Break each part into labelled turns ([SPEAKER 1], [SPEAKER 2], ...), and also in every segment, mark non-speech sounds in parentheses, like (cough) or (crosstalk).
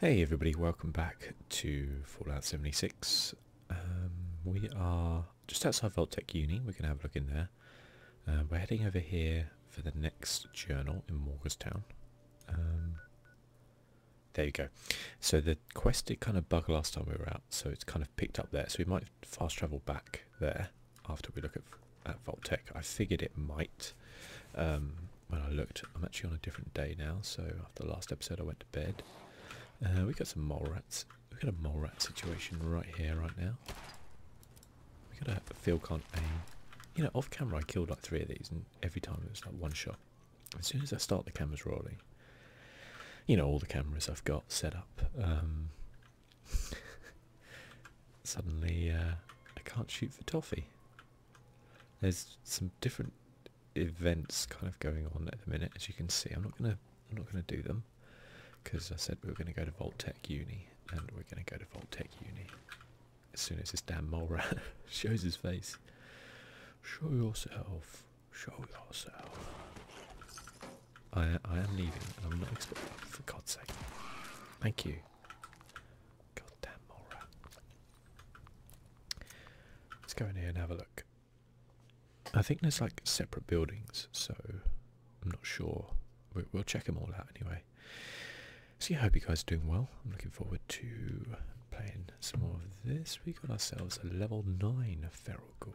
[SPEAKER 1] Hey everybody, welcome back to Fallout 76. Um, we are just outside Vault Voltec Uni, we're going to have a look in there. Uh, we're heading over here for the next journal in Morgantown. Um, there you go. So the quest did kind of bug last time we were out, so it's kind of picked up there. So we might fast travel back there after we look at, Vault Voltec. I figured it might. Um, when I looked, I'm actually on a different day now. So after the last episode, I went to bed. Uh, we got some mole rats. We got a mole rat situation right here, right now. We got a feel can't aim. You know, off camera, I killed like three of these, and every time it was like one shot. As soon as I start the cameras rolling, you know, all the cameras I've got set up. Um, (laughs) suddenly, uh, I can't shoot for toffee. There's some different events kind of going on at the minute, as you can see. I'm not gonna I'm not gonna do them because I said we are gonna go to Vault Tech Uni, and we're gonna go to Vault Tech Uni as soon as this damn mole rat (laughs) shows his face. Show yourself. Show yourself. I I am leaving. I'm not expecting. For God's sake. Thank you. Goddamn mole rat. Let's go in here and have a look. I think there's like separate buildings, so I'm not sure. We will check them all out anyway. See yeah, I hope you guys are doing well. I'm looking forward to playing some more of this. We got ourselves a level 9 feral ghoul.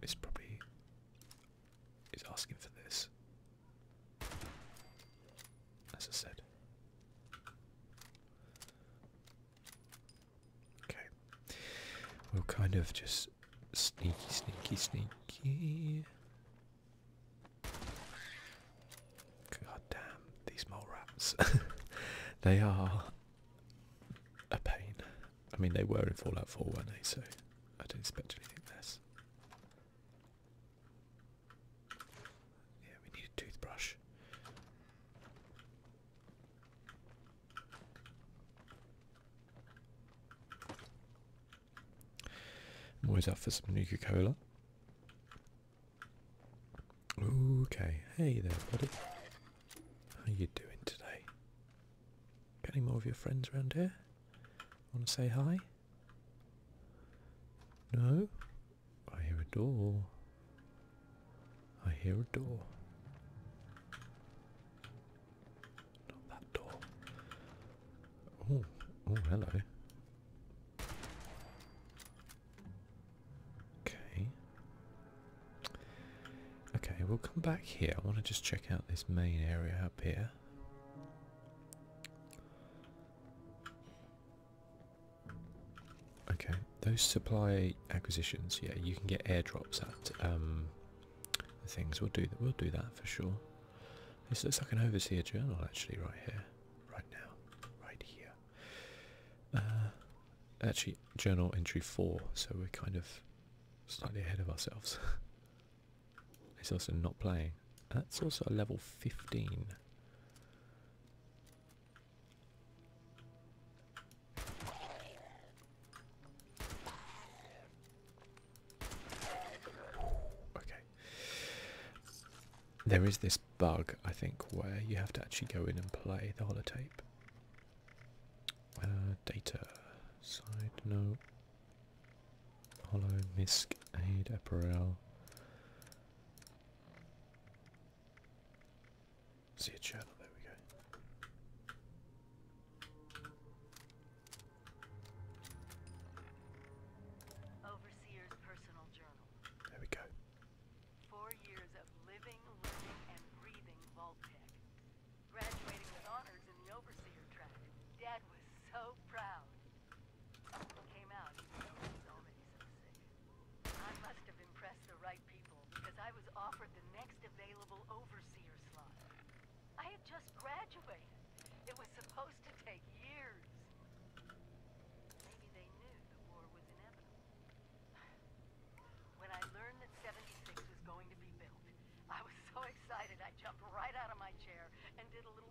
[SPEAKER 1] This probably... is asking for this. As I said. Okay. We'll kind of just sneaky, sneaky, sneaky. God damn, these mole rats. (laughs) they are a pain. I mean, they were in Fallout 4, weren't they? So I don't expect anything less. Yeah, we need a toothbrush. I'm always up for some Nuka Cola. Okay, hey there, buddy. How you doing today? Got any more of your friends around here? Want to say hi? No? I hear a door. I hear a door. Not that door. Oh, oh, hello. Okay. Okay, we'll come back here. I want to just check out this main area up here. Okay, those supply acquisitions, yeah, you can get airdrops at um, things. We'll do that. We'll do that for sure. This looks like an overseer journal, actually, right here, right now, right here. Uh, actually, journal entry four. So we're kind of slightly ahead of ourselves. (laughs) It's also not playing. That's also a level 15. Okay. There is this bug, I think, where you have to actually go in and play the holotape. Uh, data. Side, note. Hollow Misk Aid Apparel. See a channel, there we go.
[SPEAKER 2] Overseer's personal journal. There we go. Four years of living, learning, and breathing Vault Tech. Graduating with honors in the Overseer track. Dad was so proud. Came out, I must have impressed the right people, because I was offered the next available overseer slot. I had just graduated. It was supposed to take years. Maybe they knew the war was inevitable. When I learned that 76 was going to be built, I was so excited I jumped right out of my chair and did a little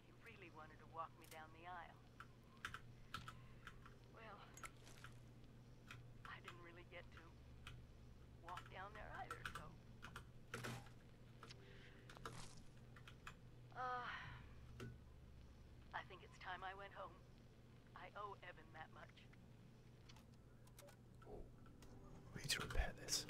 [SPEAKER 2] He really wanted to walk me down the aisle. Well, I didn't really get to walk down there either, so... Uh, I think it's time I went home. I owe Evan that much.
[SPEAKER 1] we need to repair this.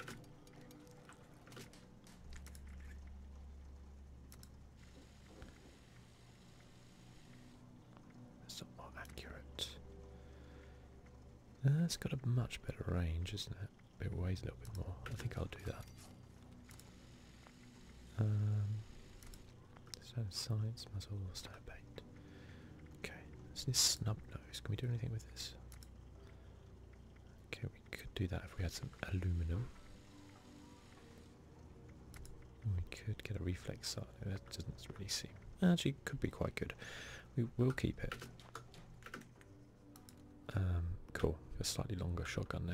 [SPEAKER 1] That's not more accurate. That's uh, got a much better range, isn't it? It weighs a little bit more. I think I'll do that. Um, science, muzzle, snow bait. Okay, this is snub nose. Can we do anything with this? Okay, we could do that if we had some aluminum. We could get a reflex side. That doesn't really seem. Actually, could be quite good. We will keep it. Um, cool. A slightly longer shotgun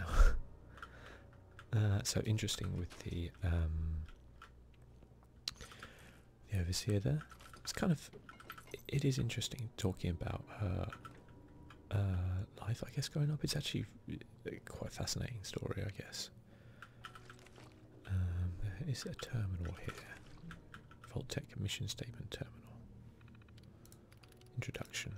[SPEAKER 1] now. (laughs) uh, so interesting with the um, the overseer there. It's kind of it is interesting talking about her uh, life. I guess growing up, it's actually quite a fascinating story, I guess. Um, there is a terminal here. Voltec Commission statement terminal. Introduction.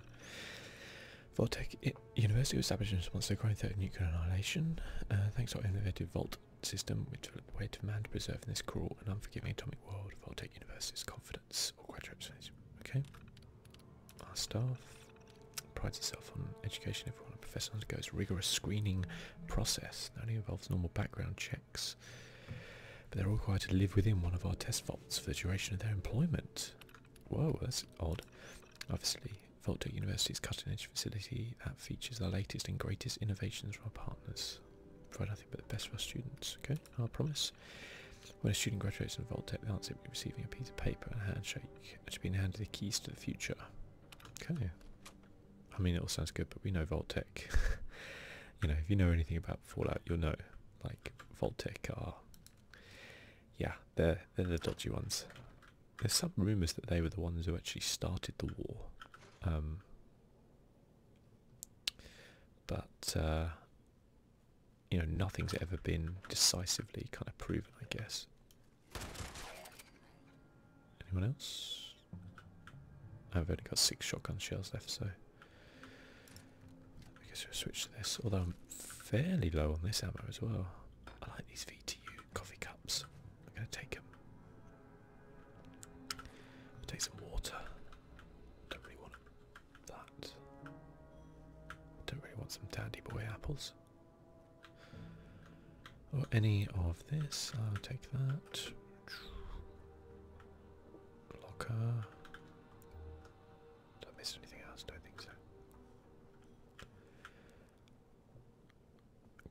[SPEAKER 1] Voltec University was established in response to the growing threat of nuclear annihilation. Uh, thanks to our innovative Volt system, which took a way to man to preserve in this cruel and unforgiving atomic world. Voltec University's confidence or graduate Okay. Our staff prides itself on education. Everyone go through undergoes rigorous screening process that only involves normal background checks. But they're required to live within one of our test vaults for the duration of their employment. Whoa, that's odd. Obviously, Voltec University's cutting-edge facility that features the latest and greatest innovations from our partners. Provide nothing but the best for our students. Okay, I promise. When a student graduates in Voltec, they'll be receiving a piece of paper and a handshake to be handed the keys to the future. Okay. I mean, it all sounds good, but we know Voltec. (laughs) you know, if you know anything about Fallout, you'll know. Like, Voltec are... Yeah, they're, they're the dodgy ones. There's some rumours that they were the ones who actually started the war. Um, but uh, you know, nothing's ever been decisively kind of proven, I guess. Anyone else? I've only got six shotgun shells left, so I guess we'll switch to this. Although I'm fairly low on this ammo as well. I like these VTU coffee cups. I'm going to take them. take some water. Don't really want that. Don't really want some dandy boy apples. Or oh, any of this. I'll take that. Locker. Did I miss anything else? Don't think so.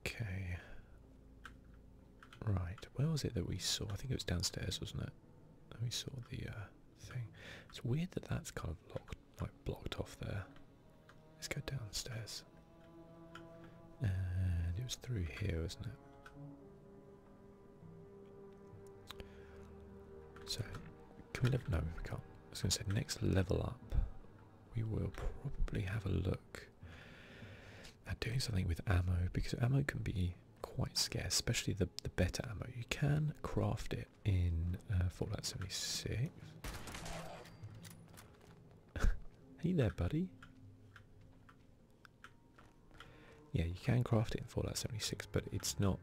[SPEAKER 1] Okay. Right. Where was it that we saw? I think it was downstairs, wasn't it? we saw the uh, it's weird that that's kind of like blocked off there. Let's go downstairs. And it was through here, wasn't it? So, can we live? if we can't. I was going to say, next level up, we will probably have a look at doing something with ammo because ammo can be quite scarce, especially the, the better ammo. You can craft it in uh, Fallout 76. (laughs) hey there, buddy. Yeah, you can craft it in Fallout 76, but it's not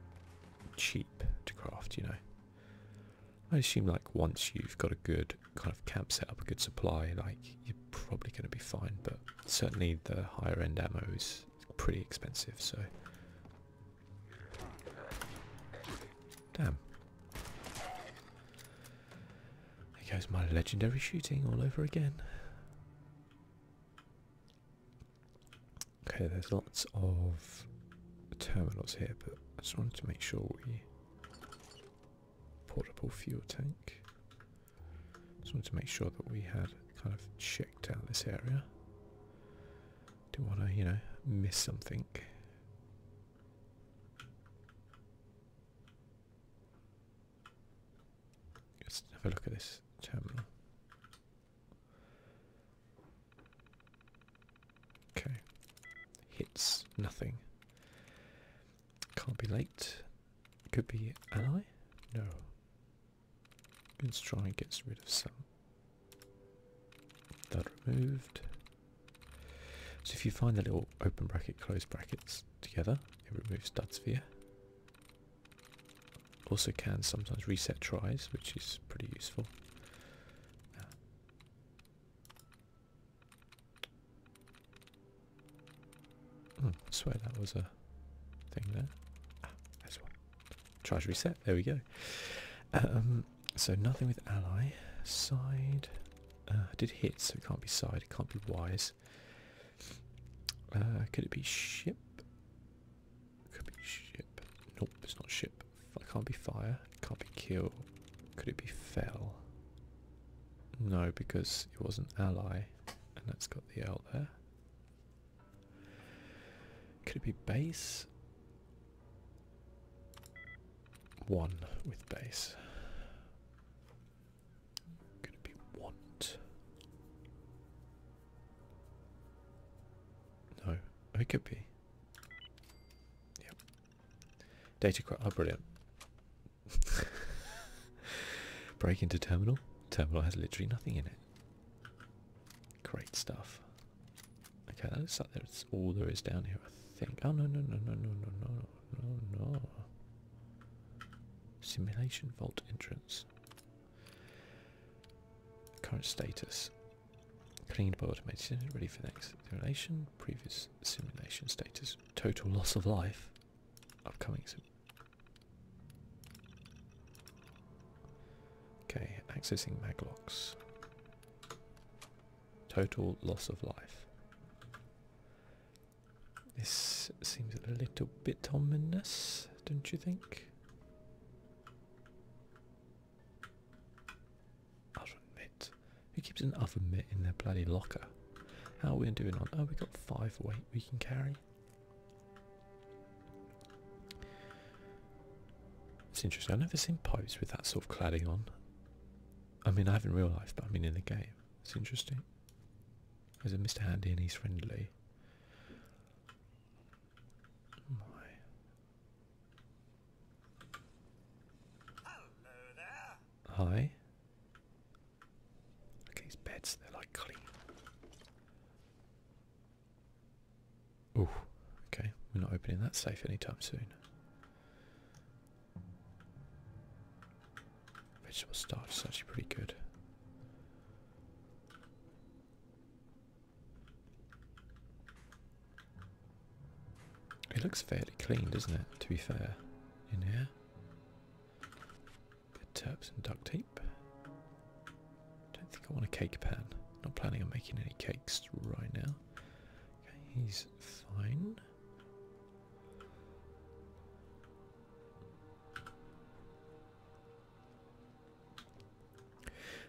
[SPEAKER 1] cheap to craft, you know. I assume, like, once you've got a good kind of camp set up, a good supply, like, you're probably going to be fine, but certainly the higher-end ammo is pretty expensive, so Damn. There goes my legendary shooting all over again. Okay, there's lots of terminals here, but I just wanted to make sure we portable fuel tank. Just wanted to make sure that we had kind of checked out this area. Don't want to, you know, miss something. Let's have a look at this terminal. Okay. Hits nothing. Can't be late. Could be ally? No. Let's try and get rid of some. That removed. So if you find the little open bracket, closed brackets together, it removes dud sphere. Also can sometimes reset tries, which is pretty useful. Uh, swear that was a thing there. Try ah, to reset. There we go. Um, so nothing with ally. Side. Uh, did hit, so it can't be side. It can't be wise. Uh, could it be ship? Could be ship. Nope, it's not ship. It can't be fire. It can't be kill. Could it be fell? No, because it was an ally, and that's got the L there. Could it be base? One with base. Could it be want? No. Oh, it could be. Yep. Data quite oh brilliant. (laughs) Break into terminal. Terminal has literally nothing in it. Great stuff. Okay, that looks like that's all there is down here, I think. Oh no no no no no no no no no. Simulation vault entrance. Current status. Cleaned by automation, ready for next simulation, previous simulation status, total loss of life, upcoming Okay, accessing maglocks. Total loss of life. This seems a little bit ominous, don't you think? Oven mitt. Who keeps an oven mitt in their bloody locker? How are we doing on? Oh, we got five weight we can carry. It's interesting. I've never seen pipes with that sort of cladding on. I mean, I have in real life, but I mean in the game. It's interesting. There's a Mr. Handy and he's friendly. Oh Hi. Look at these beds, they're like clean. Oh, okay. We're not opening that safe anytime soon. Vegetable starch is actually pretty good. It looks fairly clean, doesn't it, to be fair, in here? Good turps and duct tape. Don't think I want a cake pan. Not planning on making any cakes right now. he's fine.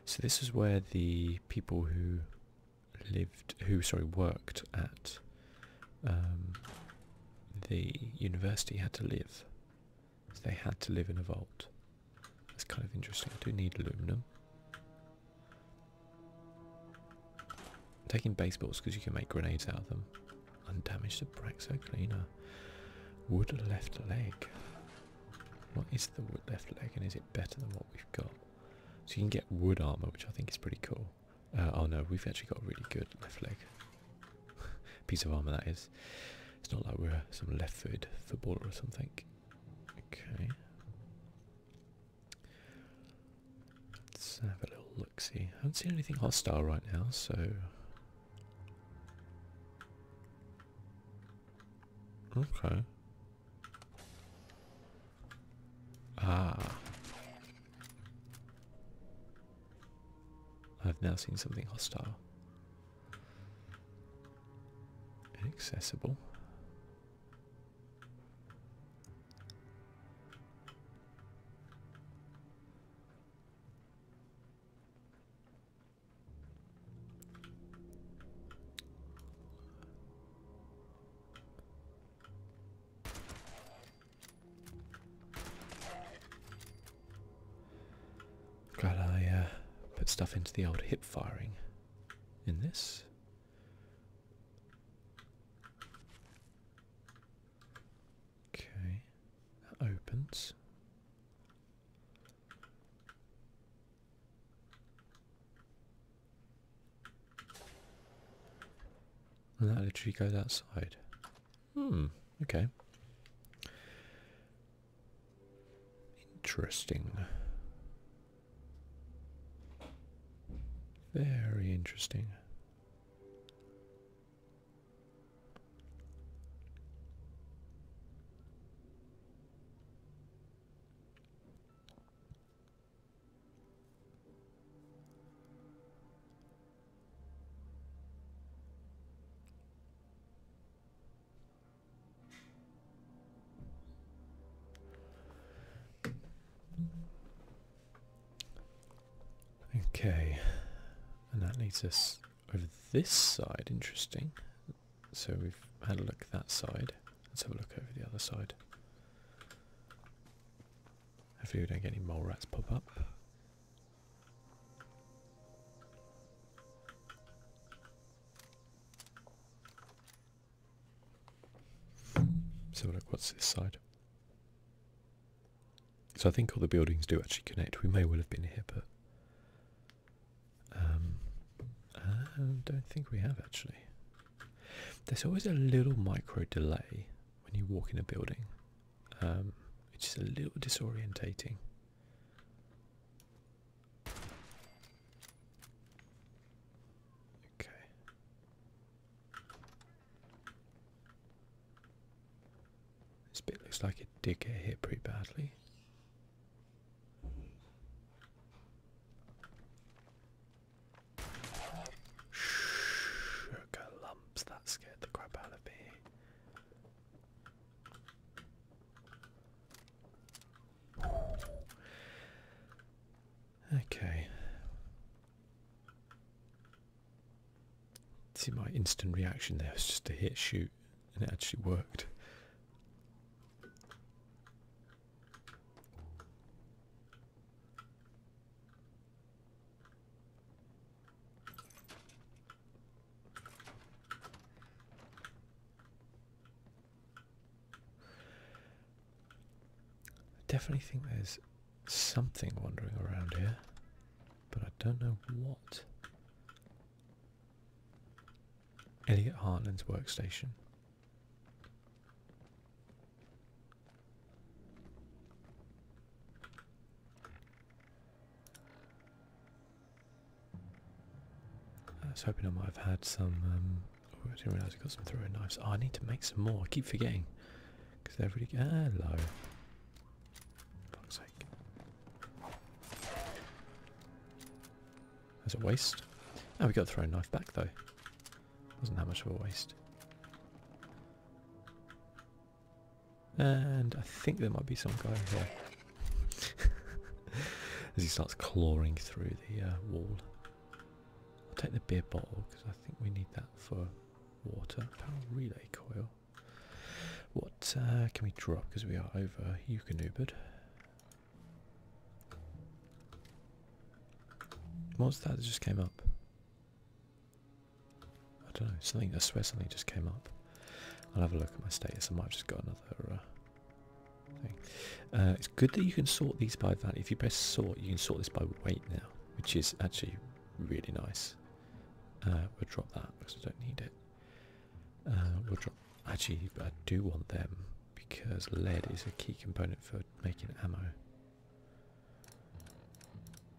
[SPEAKER 1] So this is where the people who lived, who sorry, worked at um, the university had to live. they had to live in a vault. It's kind of interesting. I do need aluminum. taking baseballs because you can make grenades out of them. Undamaged the Braxo cleaner. Wood left leg. What is the wood left leg and is it better than what we've got? So you can get wood armor, which I think is pretty cool. Uh, oh no, we've actually got a really good left leg. (laughs) piece of armor that is. It's not like we're uh, some left-footed footballer or something. Okay. Let's have a little look. See, I haven't seen anything hostile right now, so. Okay. Ah. I've now seen something hostile inaccessible. Glad I uh, put stuff into the old hip firing in this. Okay, that opens. And that literally goes outside. Hmm, okay. Interesting. Very interesting. Okay, and that leads us over this side, interesting. So we've had a look that side. Let's have a look over the other side. Hopefully we don't get any mole rats pop up. So look, what's this side? So I think all the buildings do actually connect. We may well have been here, but um, I don't think we have actually. There's always a little micro delay when you walk in a building, which um, is a little disorientating. Okay. This bit looks like it did get hit pretty badly. Sugar lumps, that scared the crap out of me. Okay. See my instant reaction there its just a hit shoot and it actually worked. I definitely think there's something wandering around here, but I don't know what. Elliot Hartland's workstation. I was hoping I might have had some. Um, oh, didn't realise I got some throwing knives. I need to make some more. I keep forgetting because they're really hello. For fuck's sake. That's a waste. Oh, we got the throwing knife back though. Wasn't that much of a waste. And I think there might be some guy here. (laughs) As he starts clawing through the uh, wall. I'll take the beer bottle because I think we need that for water. Power relay coil. What uh, can we drop because we are over Yukonubered? What's that just came up? I don't know, something, I swear something just came up. I'll have a look at my status, I might just got another uh, thing. Uh, it's good that you can sort these by value. If you press sort, you can sort this by weight now, which is actually really nice. Uh, we'll drop that because I don't need it. Uh, we'll drop, actually, I do want them because lead is a key component for making ammo.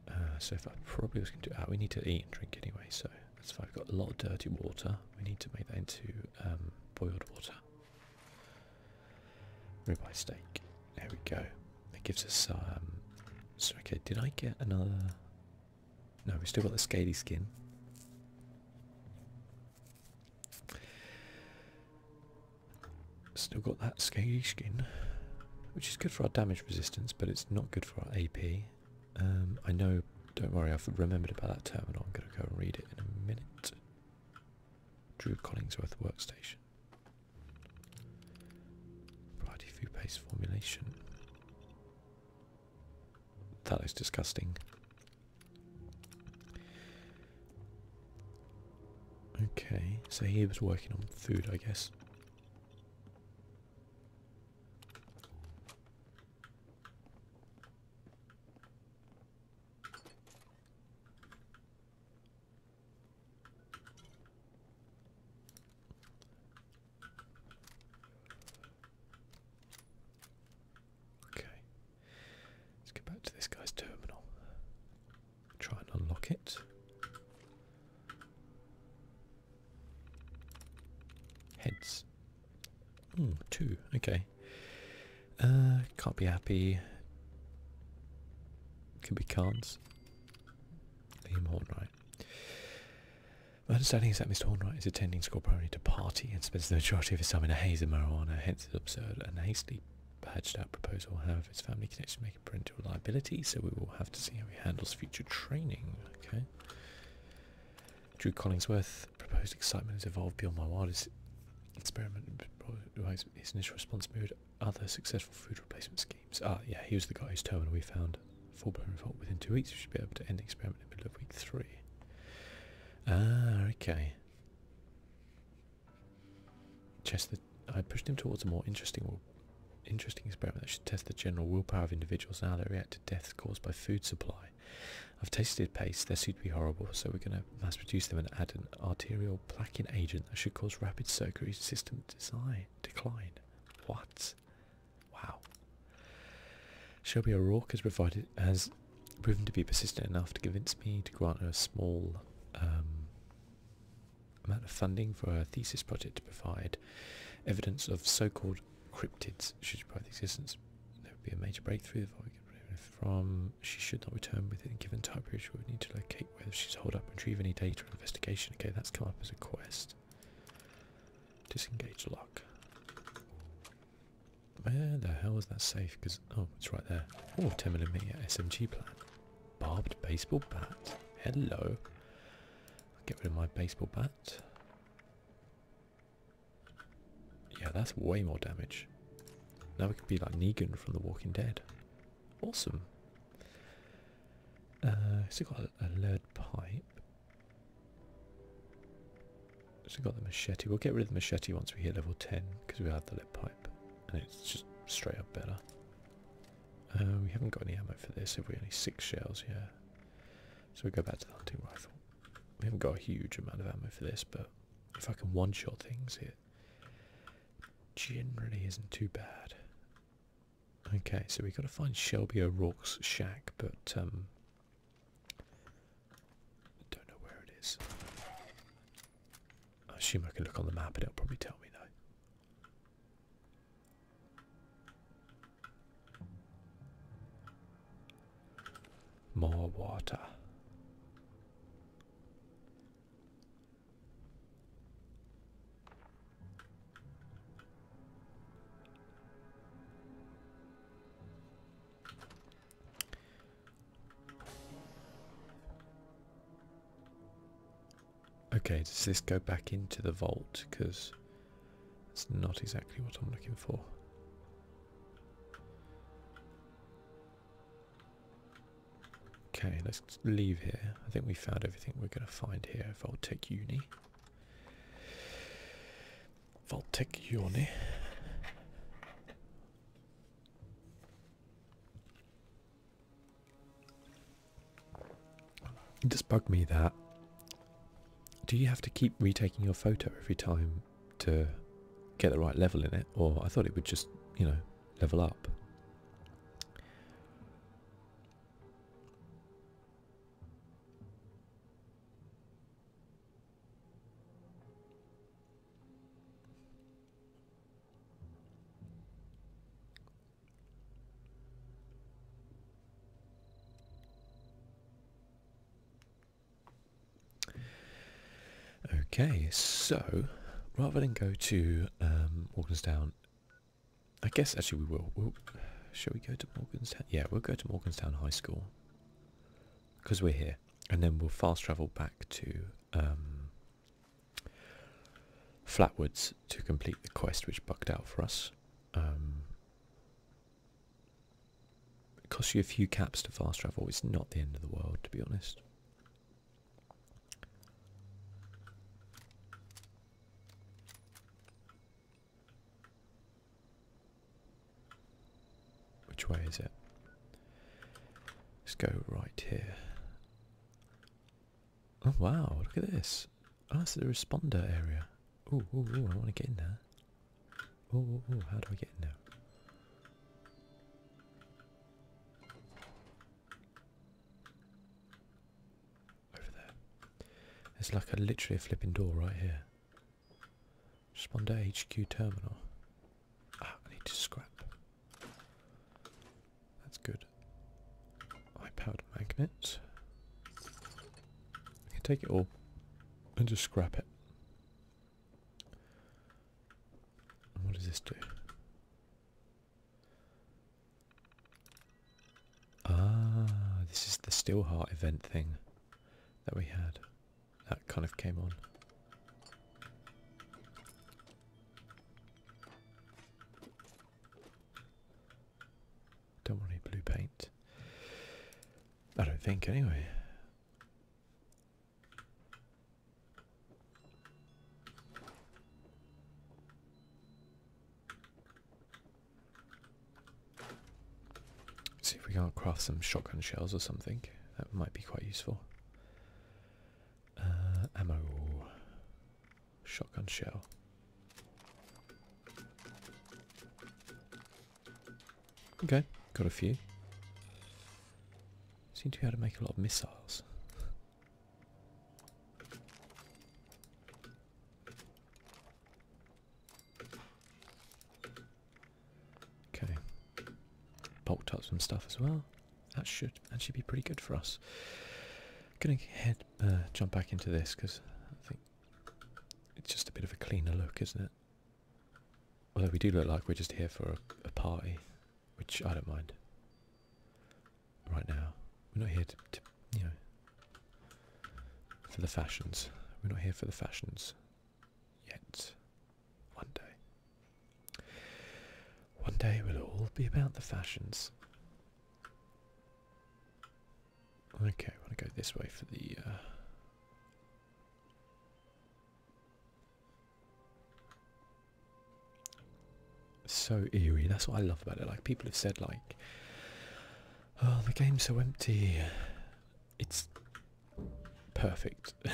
[SPEAKER 1] Uh, so if I probably was going to, ah, we need to eat and drink anyway, so that's fine. We've got a lot of dirty water. We need to make that into um, boiled water. Ribeye steak. There we go. It gives us So okay, did I get another? No, we still got the scaly skin. Still got that scaly skin, which is good for our damage resistance, but it's not good for our AP. Um, I know, don't worry, I've remembered about that term I'm going to go and read it in a minute. Drew Collingsworth Workstation. Bloody food paste formulation. That looks disgusting. Okay, so he was working on food, I guess. Okay, let's go back to this guy's terminal. Try and unlock it. Heads. Hmm, two. Okay. Uh, can't be happy. Could be cards. Liam Hornwright. My understanding is that Mr. Hornwright is attending school primarily to party and spends the majority of his time in a haze of marijuana, hence his absurd and hastily patched-up proposal. However, his family connections make it parental reliability, so we will have to see how he handles future training. Okay. Drew Collingsworth proposed excitement has evolved beyond my wildest experiment. His initial response mirrored other successful food replacement schemes. Ah, yeah, he was the guy whose terminal we found full-blown revolt within two weeks. We should be able to end the experiment in the middle of week three. Ah, okay. Chester, I pushed him towards a more interesting interesting experiment that should test the general willpower of individuals and how they react to deaths caused by food supply. I've tasted paste; they're soon to be horrible, so we're going to mass produce them and add an arterial plaquing agent that should cause rapid circulatory system decline. What? Wow. Shelby O'Rourke has provided has proven to be persistent enough to convince me to grant her a small um, amount of funding for a thesis project to provide evidence of so-called cryptids should you the existence. There would be a major breakthrough from she should not return within a given time period. She would need to locate whether she's hold up and retrieve any data or investigation. Okay, that's come up as a quest. Disengage lock. Where the hell is that safe? Because oh, it's right there. Oh, 10 millimeter SMG plan. Barbed baseball bat. Hello. Get rid of my baseball bat. Yeah, that's way more damage. Now we could be like Negan from The Walking Dead. Awesome. Uh, still got a, lead pipe. Still got the machete. We'll get rid of the machete once we hit level 10 because we have the lead pipe and it's just straight up better. Uh, we haven't got any ammo for this, have we? Only six shells, yeah. So we go back to the hunting rifle. We haven't got a huge amount of ammo for this, but if I can one-shot things, it generally isn't too bad. Okay, so we've got to find Shelby O'Rourke's shack, but um, don't know where it is. I assume I can look on the map and it'll probably tell me though. More water. Okay, does this go back into the vault? Because that's not exactly what I'm looking for. Okay, let's leave here. I think we found everything we're going to find here. Voltec Uni. Voltec Uni. It just bugged me that. Do you have to keep retaking your photo every time to get the right level in it? Or I thought it would just, you know, level up. Okay, so rather than go to um, I guess actually we will. we shall we go to Morganstown? Yeah, we'll go to Morganstown High School because we're here, and then we'll fast travel back to um, flatwoods to complete the quest, which bugged out for us. Um, it costs you a few caps to fast travel. It's not the end of the world, to be honest. Which way is it? Let's go right here. Oh wow, look at this. What's... Oh, it's the responder area. Oh, oh, oh, I want to get in there. Oh, oh, oh, how do I get in there? Over there. There's like a literally a flipping door right here. Responder HQ terminal. Ah, I need to scrap. That's good. High-powered magnets. I can take it all and just scrap it. what does this do? Ah, this is the Steelheart event thing that we had. That kind of came on. Don't want any blue paint. I don't think, anyway. see if we can't craft some shotgun shells or something. That might be quite useful. Uh, ammo. Shotgun shell. Okay, got a few. Seem to be able to make a lot of missiles. Okay. Bulked up some stuff as well. That should actually be pretty good for us. Gonna head uh, jump back into this because I think it's just a bit of a cleaner look, isn't it? Although we do look like we're just here for a, party, which I don't mind. Right now, we're not here to, you know for the fashions. We're not here for the fashions yet. One day. One day we'll all be about the fashions. Okay, I want to go this way for the. Uh, so eerie. That's what I love about it. Like people have said, like, "Oh, the game's so empty." It's perfect. (laughs)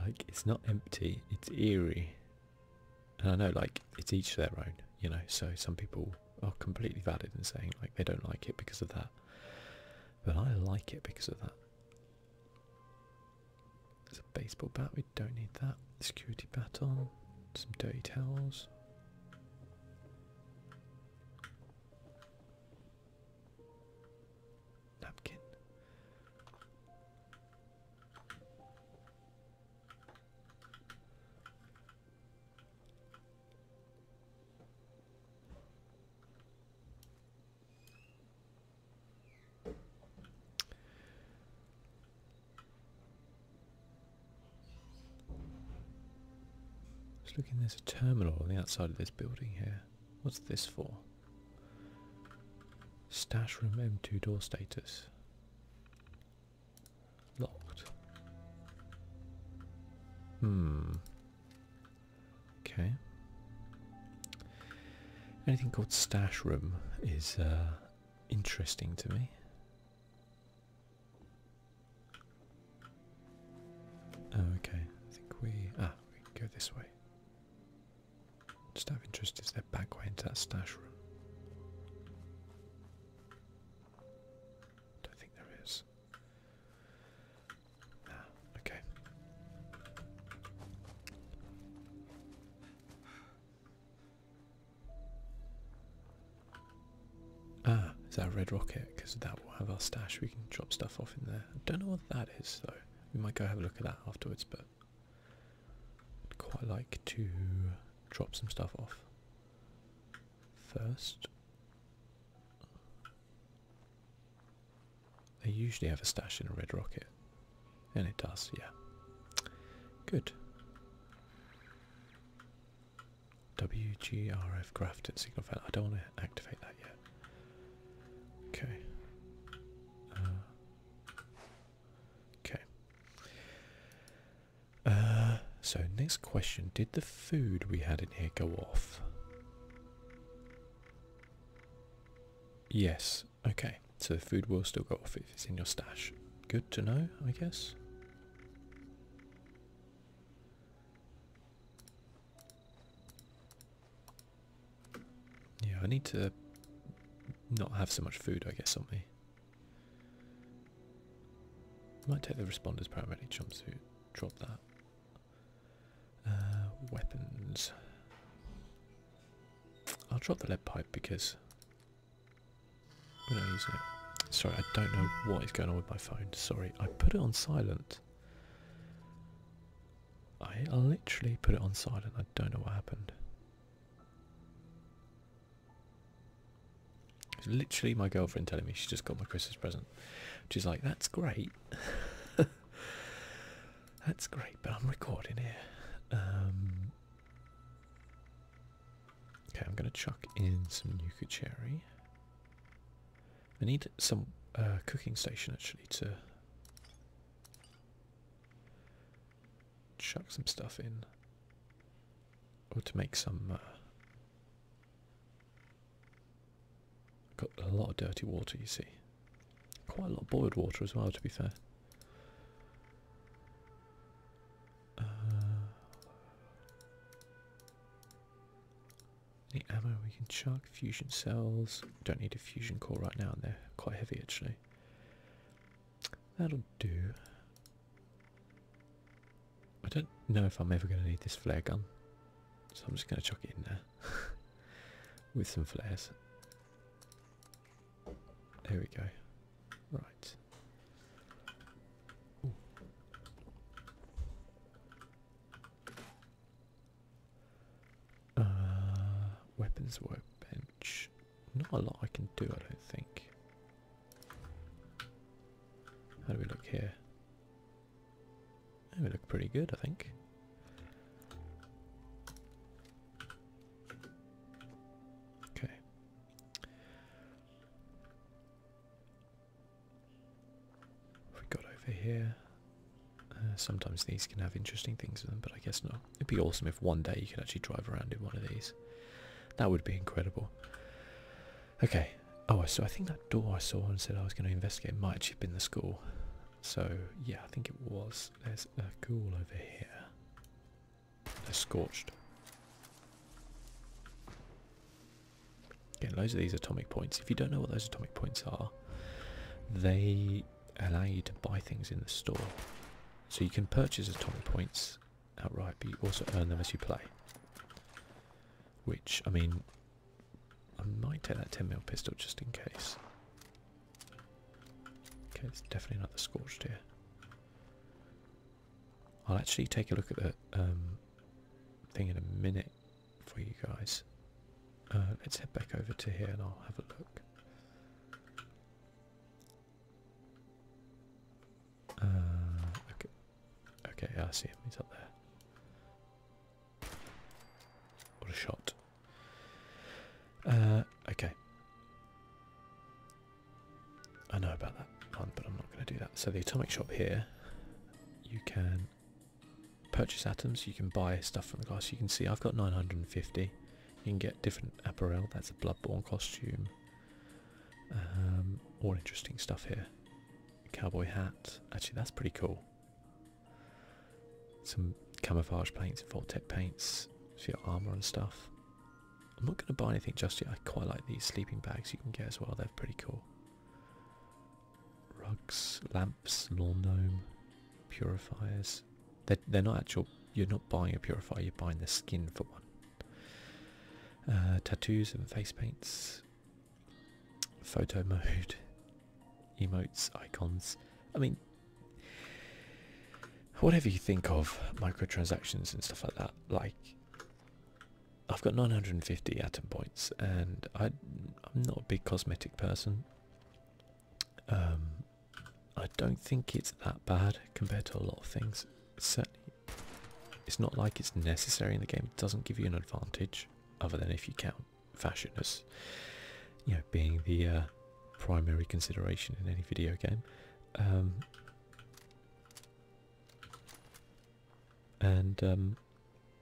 [SPEAKER 1] like it's not empty. It's eerie and I know like it's each their own, you know, so some people are completely valid in saying like they don't like it because of that, but I like it because of that. There's a baseball bat, we don't need that. Security baton, some dirty towels. Napkin. Just looking, there's a terminal on the outside of this building here. What's this for? Stash room M2 door status. Locked. Hmm. Okay. Anything called stash room is uh, interesting to me. Oh, okay. I think we ah we go this way. Just out of interest, is there back way into that stash room? Don't think there is. okay. Ah, is that a red rocket? Because that will have our stash. We can drop stuff off in there. I don't know what that is though. We might go have a look at that afterwards, but I'd quite like to drop some stuff off first. They usually have a stash in a red rocket. And it does, yeah. Good. WGRF grafted signal fan. I don't want to activate that yet. Okay. Uh, Okay. Uh, so next question: Did the food we had in here go off? Yes. Okay. So the food will still go off if it's in your stash. Good to know, I guess. Yeah, I need to not have so much food, I guess, on me. Okay. Might take the responders paramedic jumpsuit. Drop that. Uh, weapons. I'll drop the lead pipe because Sorry, I don't know what is going on with my phone. Sorry, I put it on silent. I literally put it on silent. I don't know what happened literally my girlfriend telling me she's just got my Christmas present. She's like, that's great. (laughs) that's great, but I'm recording here. Um, okay, I'm going to chuck in some yucca Cherry. I need some uh, cooking station actually to chuck some stuff in. Or to make some. Uh, got a lot of dirty water, you see. Quite a lot of boiled water as well, to be fair. Uh, ammo we can chuck? Fusion cells. Don't need a fusion core right now, and they're quite heavy actually. That'll do. I don't know if I'm ever going to need this flare gun, so I'm just going to chuck it in there (laughs) with some flares. There we go. Right. Ooh. Uh, weapons workbench. Not a lot I can do, I don't think. How do we look here? We look pretty good, I think. Okay. What we got over here. Uh, sometimes these can have interesting things in them, but I guess not. It'd be awesome if one day you could actually drive around in one of these. That would be incredible. Okay. Oh, so I think that door I saw and said I was going to investigate might actually have been the school. So, yeah, I think it was. There's a ghoul over here. They're scorched. Again, loads of these atomic points. If you don't know what those atomic points are, they allow you to buy things in the store. So you can purchase atomic points outright, but you also earn them as you play. Which, I mean, I might take that 10mm pistol just in case. Okay, it's definitely not the scorched here. I'll actually take a look at the um, thing in a minute for you guys. Uh, let's head back over to here and I'll have a look. Uh, okay. Okay, I see him. He's up there. What a shot. Uh, okay. I know about that but I'm not going to do that. So the atomic shop here, you can purchase atoms. You can buy stuff from the glass. You can see I've got 950. You can get different apparel. That's a Bloodborne costume. Um, all interesting stuff here. Cowboy hat. Actually, that's pretty cool. Some camouflage paints and Voltec paints for your armor and stuff. I'm not going to buy anything just yet. I quite like these sleeping bags you can get as well. They're pretty cool. Rugs, lamps, lawn gnome, purifiers, they're, not actual you're not buying a purifier you're buying the skin for one uh, tattoos and face paints photo mode (laughs) emotes icons i mean whatever you think of microtransactions and stuff like that like i've got 950 atom points and i'm not a big cosmetic person um, I don't think it's that bad compared to a lot of things. It's certainly, it's not like it's necessary in the game. It doesn't give you an advantage, other than if you count fashion as, you know, being the uh, primary consideration in any video game. Um, and um,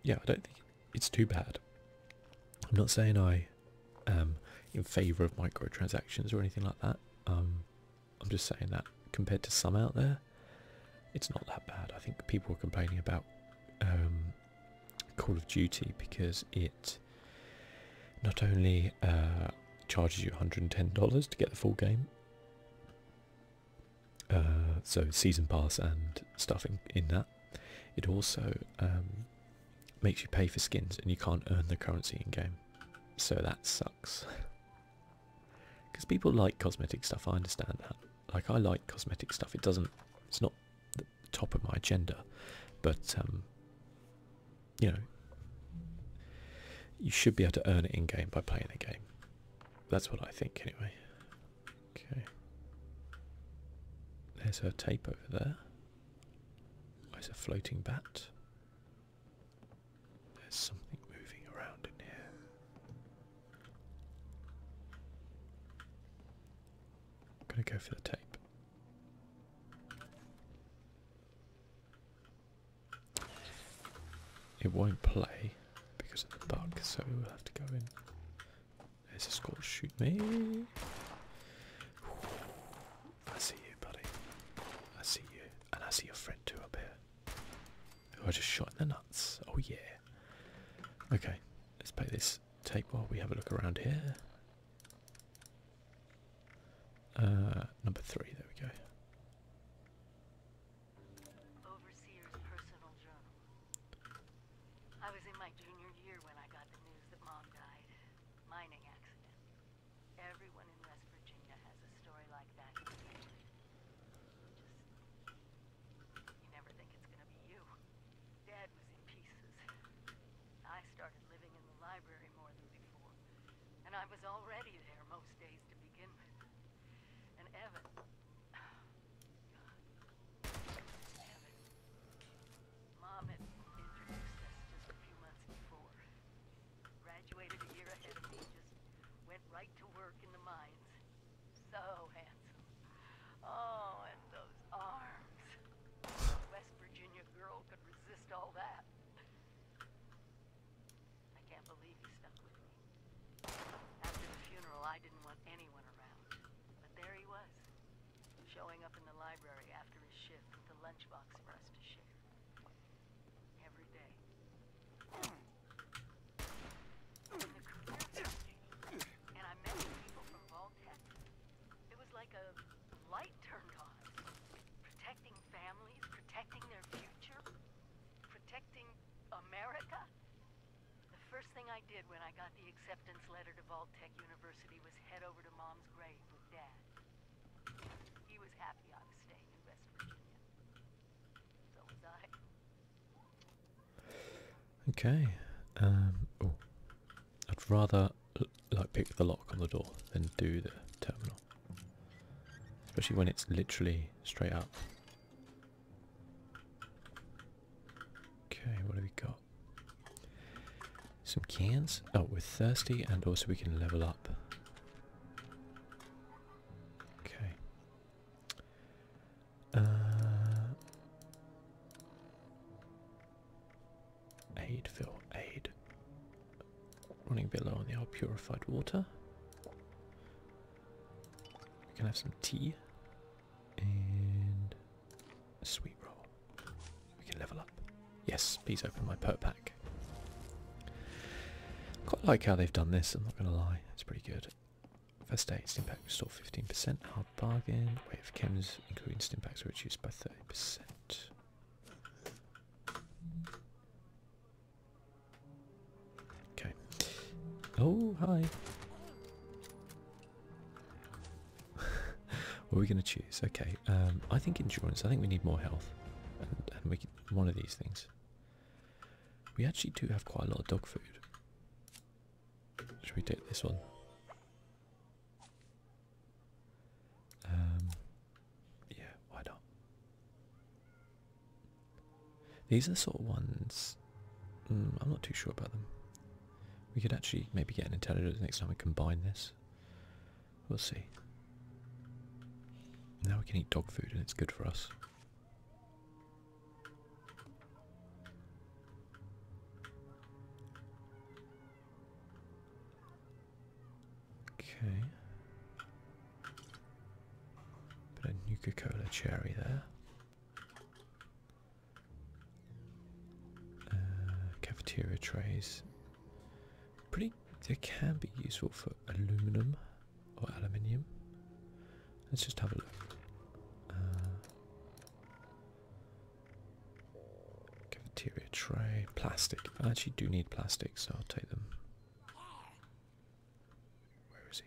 [SPEAKER 1] yeah, I don't think it's too bad. I'm not saying I um, in favour of microtransactions or anything like that. Um, I'm just saying that compared to some out there, it's not that bad. I think people are complaining about um, Call of Duty because it not only uh, charges you $110 to get the full game, uh, so season pass and stuff in, that, it also makes you pay for skins and you can't earn the currency in game. So that sucks. Because (laughs) people like cosmetic stuff, I understand that. Like I like cosmetic stuff. It doesn't it's not the top of my agenda. But um you know you should be able to earn it in game by playing the game. That's what I think anyway. Okay. There's her tape over there. It's a floating bat. There's something moving around in here. I'm going to go for the tape. It won't play because of the bug, so we'll have to go in. There's a score, shoot me. I see you, buddy. I see you. And I see your friend too up here. Who are just shot in the nuts. Oh yeah. Okay, let's pay this tape while we have a look around here. Uh, number three, there we
[SPEAKER 2] go mining accident. Everyone in West Virginia has a story like that. you never think it's gonna be you. Dad was in pieces. I started living in the library more than before. And I was already there most days to begin with. And Evan... (sighs) God. Evan. Mom had introduced us just a few months before. Graduated a year ahead of me, just went right to work in the mines. So handsome. Oh, and those arms. West Virginia girl could resist all that. I can't believe he stuck with me. After the funeral, I didn't want anyone around. But there he was, Showing up in the library after his shift with a lunchbox for us to share. Every day. and I met people from Vault Tech. It was like a light turned on. Protecting families, protecting their future, protecting America. The first thing I did when I got the acceptance letter to Vault Tech University was head over to Mom's grave.
[SPEAKER 1] Okay. Um. Oh, I'd rather like pick the lock on the door than do the terminal, especially when it's literally straight up. Okay, what have we got? Some cans. Oh, we're thirsty and also we can level up. Okay. Uh, aid, Phil, aid. Running below bit low on the purified water. We can have some tea. And sweet roll. We can level up. Yes, please open my perk pack. Quite like how they've done this, I'm not going to lie. It's pretty good. First aid, stim pack restore 15%, hard bargain. Weight of chems, including stim packs, are reduced by 30%. Okay. Oh, hi what are we going to choose? Okay, um, I think endurance. I think we need more health, and, we can, one of these things. We actually do have quite a lot of dog food. Should we take this one? Um, yeah, why not? These are sort of ones. Mm, I'm not too sure about them. We could actually maybe get an intelligence next time we combine this. We'll see. Now we can eat dog food and it's good for us. Okay. Bit of coca Cola cherry there. Uh, cafeteria trays. Pretty, they can be useful for aluminum or aluminium. Let's just have a look. Uh, cafeteria tray, plastic. I actually do need plastic, so I'll take them. Where is he?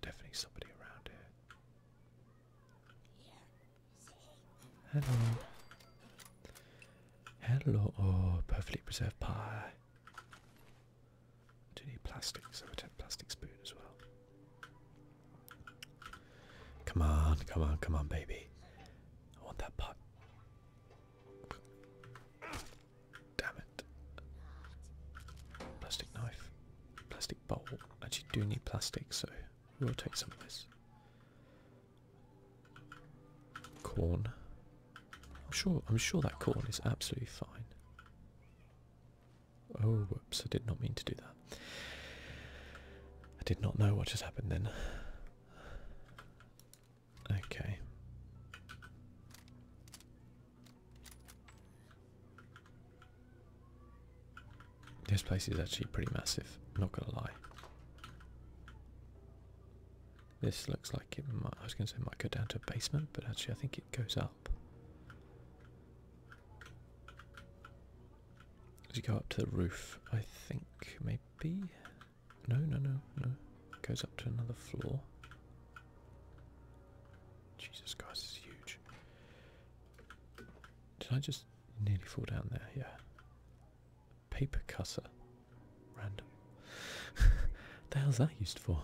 [SPEAKER 1] definitely somebody around here. Hello. Hello. Oh, perfectly preserved pie. I do need plastic, so I take plastic spoon as well. Come on, come on, come on, baby. I want that pot. Damn it. Plastic knife. Plastic bowl. Actually, do need plastic, so we'll take some of this. Corn. I'm sure. I'm sure that corn is absolutely fine. Oh, whoops! I did not mean to do that. I did not know what just happened then. Okay. This place is actually pretty massive, not gonna lie. This looks like it might, I was gonna say it might go down to a basement, but actually I think it goes up. Does it go up to the roof? I think, maybe? No, no, no, no. It goes up to another floor. Jesus Christ, it's huge. Did I just nearly fall down there? Yeah. Paper cutter. Random. (laughs) the hell's that used for?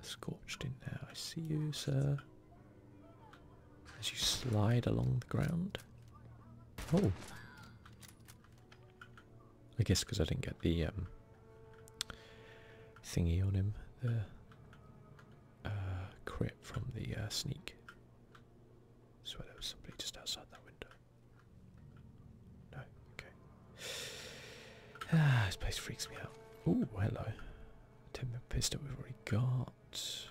[SPEAKER 1] Scorched in there. I see you, sir. As you slide along the ground. Oh. I guess because I didn't get the um, thingy on him, the uh, crit from the uh, sneak. So swear there was somebody just outside that window. No, okay. Ah, this place freaks me out. Oh, hello. Timber pistol we've already got.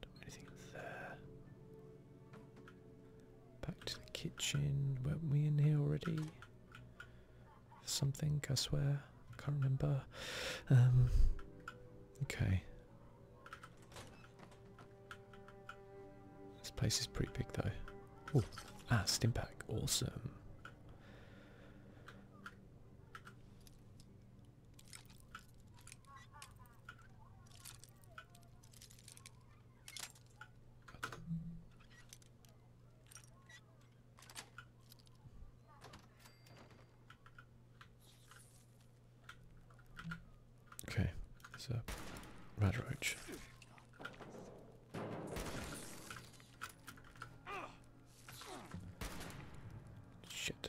[SPEAKER 1] Don't anything there. Back to the kitchen. Weren't we in here already? something, I swear. I can't remember. Um, okay. This place is pretty big though. Ah, Stimpak. Awesome. Okay, so a rat Shit.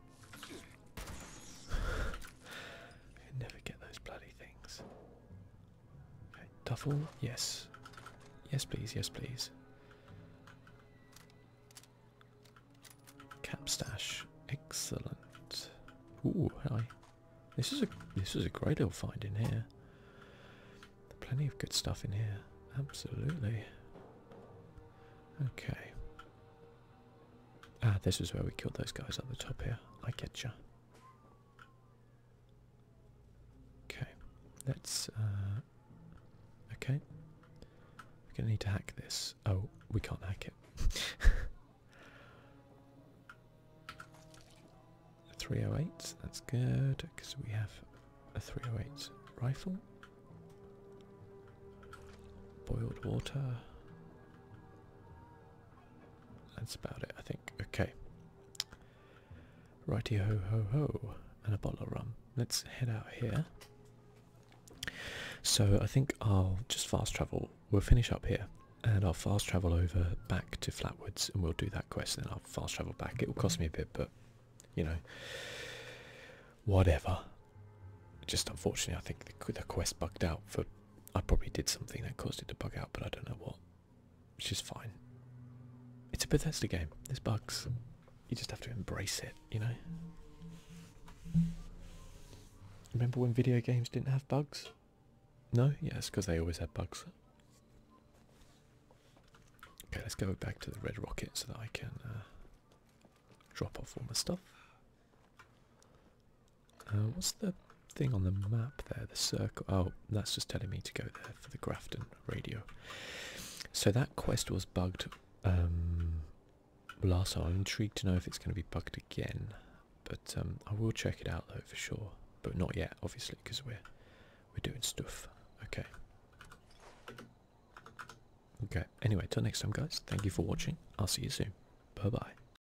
[SPEAKER 1] (laughs) I never get those bloody things. Right, yes. Yes, please, yes, please. Cap stash, excellent. Ooh, This is a this is a great little find in here. Plenty of good stuff in here. Absolutely. Okay. Ah, this is where we killed those guys at the top here. I get you. Okay, let's. Uh, okay, we're gonna need to hack this. Oh, we can't hack it. (laughs) 308, that's good because we have a 308 rifle. Boiled water. That's about it, I think. Okay. Righty ho ho ho, and a bottle of rum. Let's head out here. So I think I'll just fast travel. We'll finish up here, and I'll fast travel over back to Flatwoods, and we'll do that quest. And then I'll fast travel back. It will cost me a bit, but you know, whatever. Just unfortunately, I think the, quest bugged out for I probably did something that caused it to bug out, but I don't know what. It's just fine. It's a Bethesda game. There's bugs. You just have to embrace it, you know? Remember when video games didn't have bugs? No? Yeah, it's because they always had bugs. Okay, let's go back to the red rocket so that I can uh, drop off all my stuff. Uh, what's the thing on the map there? The circle. Oh, that's just telling me to go there for the Grafton radio. So that quest was bugged um, last time. I'm intrigued to know if it's going to be bugged again. But um, I will check it out though for sure. But not yet, obviously, because we're we're doing stuff. Okay. Okay. Anyway, till next time, guys. Thank you for watching. I'll see you soon. Bye bye.